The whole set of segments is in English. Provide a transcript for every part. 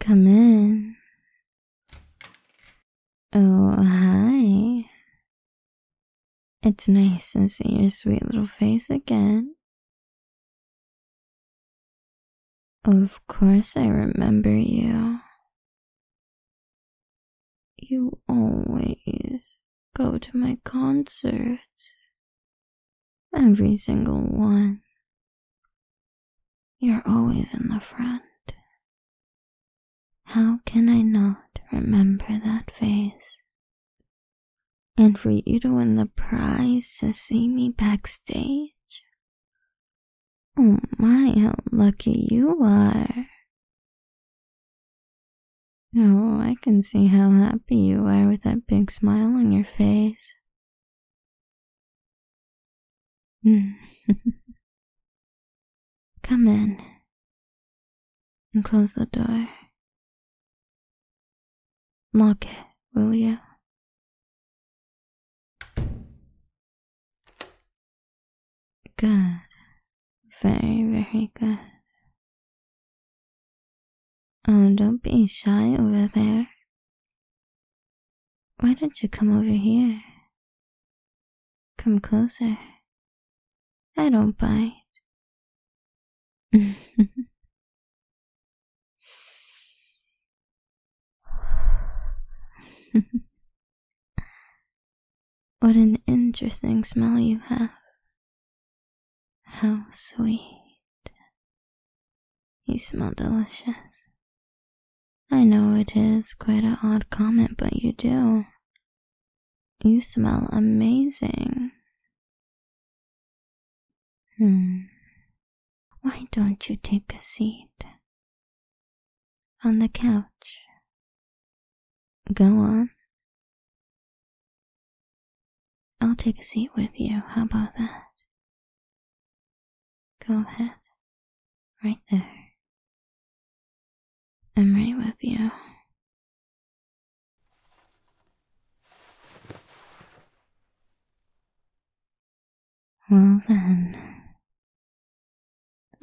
Come in. Oh, hi. It's nice to see your sweet little face again. Of course, I remember you. You always go to my concerts. Every single one. You're always in the front. How can I not remember that face? And for you to win the prize to see me backstage? Oh my, how lucky you are. Oh, I can see how happy you are with that big smile on your face. Hmm. Come in and close the door. Lock it, will you? Good. Very, very good. Oh, don't be shy over there. Why don't you come over here? Come closer. I don't bite. what an interesting smell you have. How sweet. You smell delicious. I know it is quite a odd comment, but you do. You smell amazing. Hmm. Why don't you take a seat? On the couch. Go on. I'll take a seat with you. How about that? Go ahead. Right there. I'm right with you. Well then.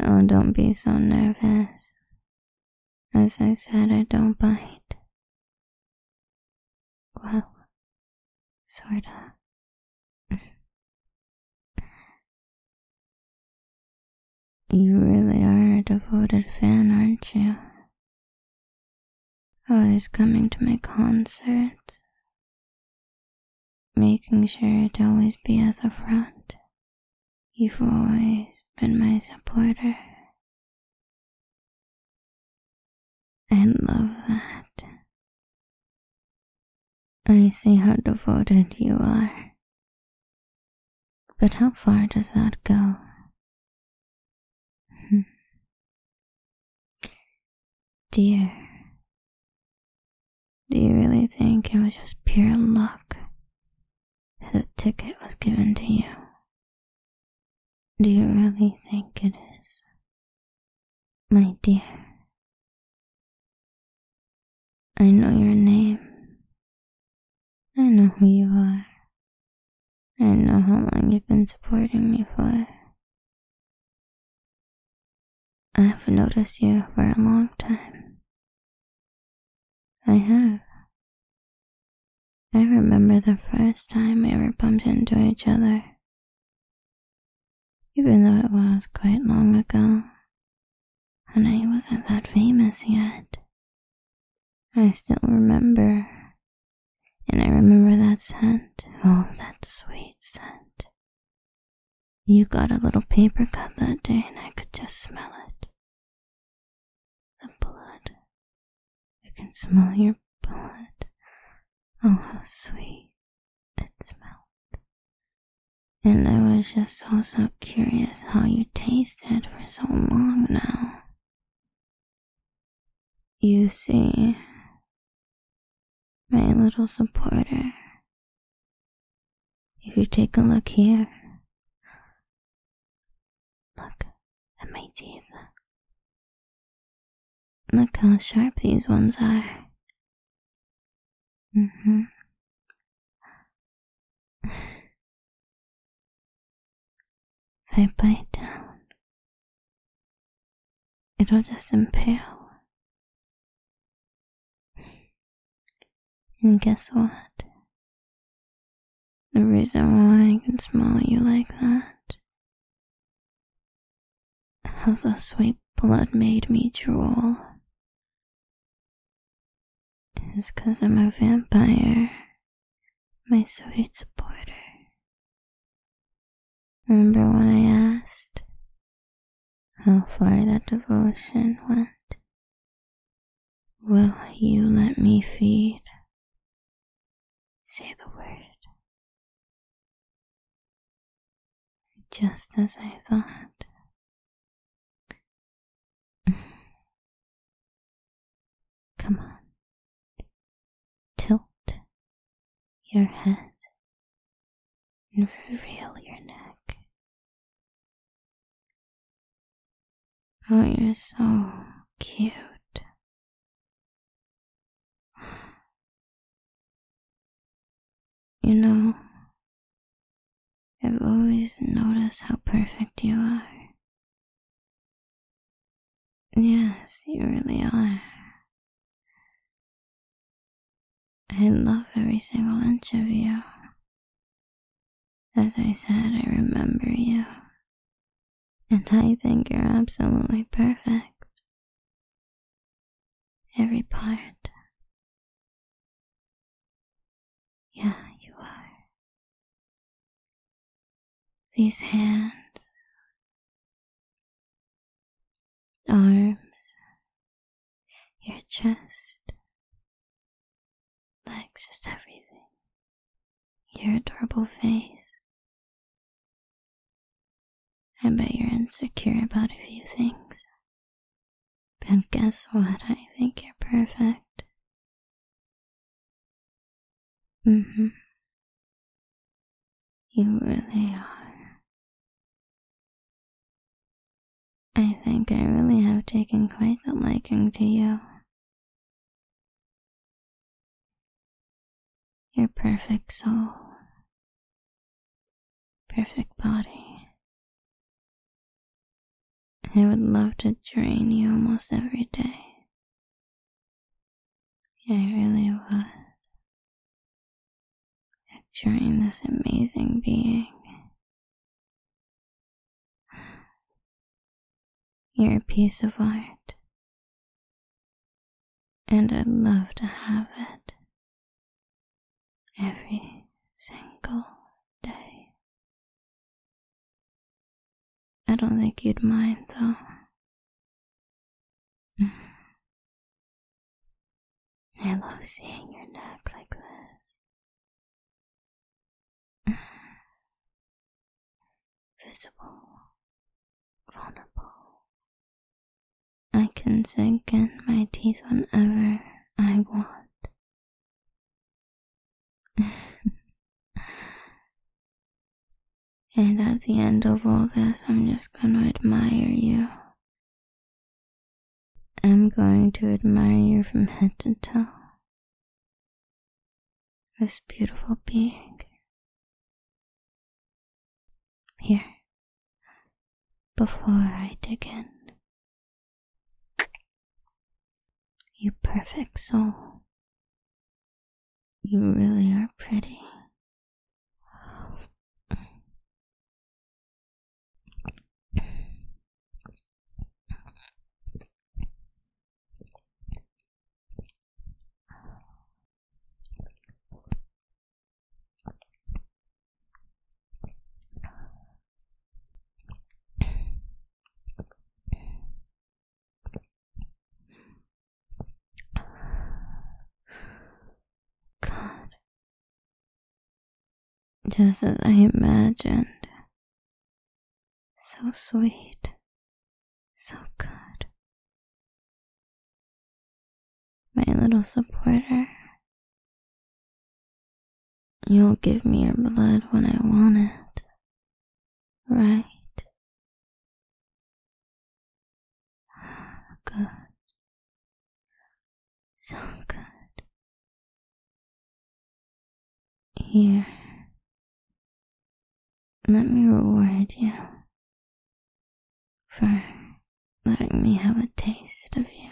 Oh, don't be so nervous. As I said, I don't bite. Well, sorta. you really are a devoted fan, aren't you? Always coming to my concerts. Making sure to always be at the front. You've always been my supporter. I love that. I see how devoted you are. But how far does that go? Hmm. Dear, do you really think it was just pure luck the ticket was given to you. Do you really think it is? My dear, I know your name. I know who you are. I know how long you've been supporting me for. I've noticed you for a long time. I have. I remember the first time we ever bumped into each other. Even though it was quite long ago, and I wasn't that famous yet, I still remember. And I remember that scent. Oh, that sweet scent. You got a little paper cut that day, and I could just smell it. The blood. I can smell your blood. Oh, how sweet it smelled. And I was just also curious how you tasted for so long now. You see, my little supporter if you take a look here, look at my teeth. Look how sharp these ones are. Mm-hmm. I bite down, it'll just impale and guess what? The reason why I can smell you like that. How the sweet blood made me drool. Is i I'm a vampire, my sweet supporter. Remember when I asked how far that devotion went. Will you let me feed? Say the word. Just as I thought. Come on. Tilt your head and reveal your neck. Oh, you're so cute. You know, I've always noticed how perfect you are. Yes, you really are. I love every single inch of you. As I said, I remember you. And I think you're absolutely perfect. Every part. Yeah, you are. These hands arms, your chest, legs, just everything, your adorable face. I bet you're insecure about a few things. But guess what? I think you're perfect. Mm hmm. You really are. I think I really have taken quite a liking to you. Your perfect soul, perfect body. I would love to drain you almost every day. I really would you picturing this amazing being. You're a piece of art, and I'd love to have it every single day. I don't think you'd mind, though. Mm-hmm. I love seeing your neck like this. Mm-hmm. Visible, vulnerable. I can sink in my teeth whenever I want. And at the end of all this, I'm just going to admire you. I'm going to admire you from head to toe. This beautiful being. Here. Before I dig in. You perfect soul. You really are pretty. God. Just as I imagined. So sweet. So good. My little supporter. You'll give me your blood when I want it right? Good. So good. Here. Let me reward you for letting me have a taste of you.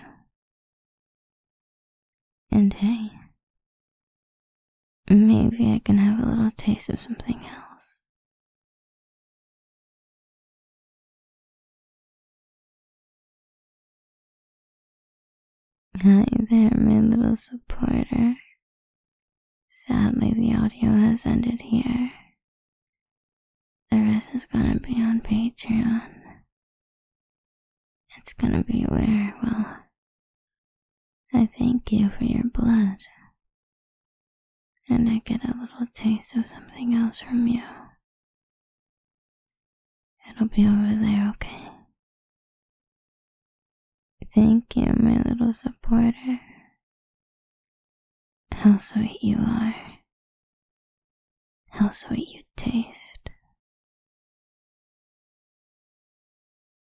And hey, Maybe I can have a little taste of something else. Hi there, my little supporter. Sadly, the audio has ended here. The rest is gonna be on Patreon. It's gonna be where, well, I thank you for your blood. And I get a little taste of something else from you. It'll be over there, okay? Thank you, my little supporter. How sweet you are. How sweet you taste.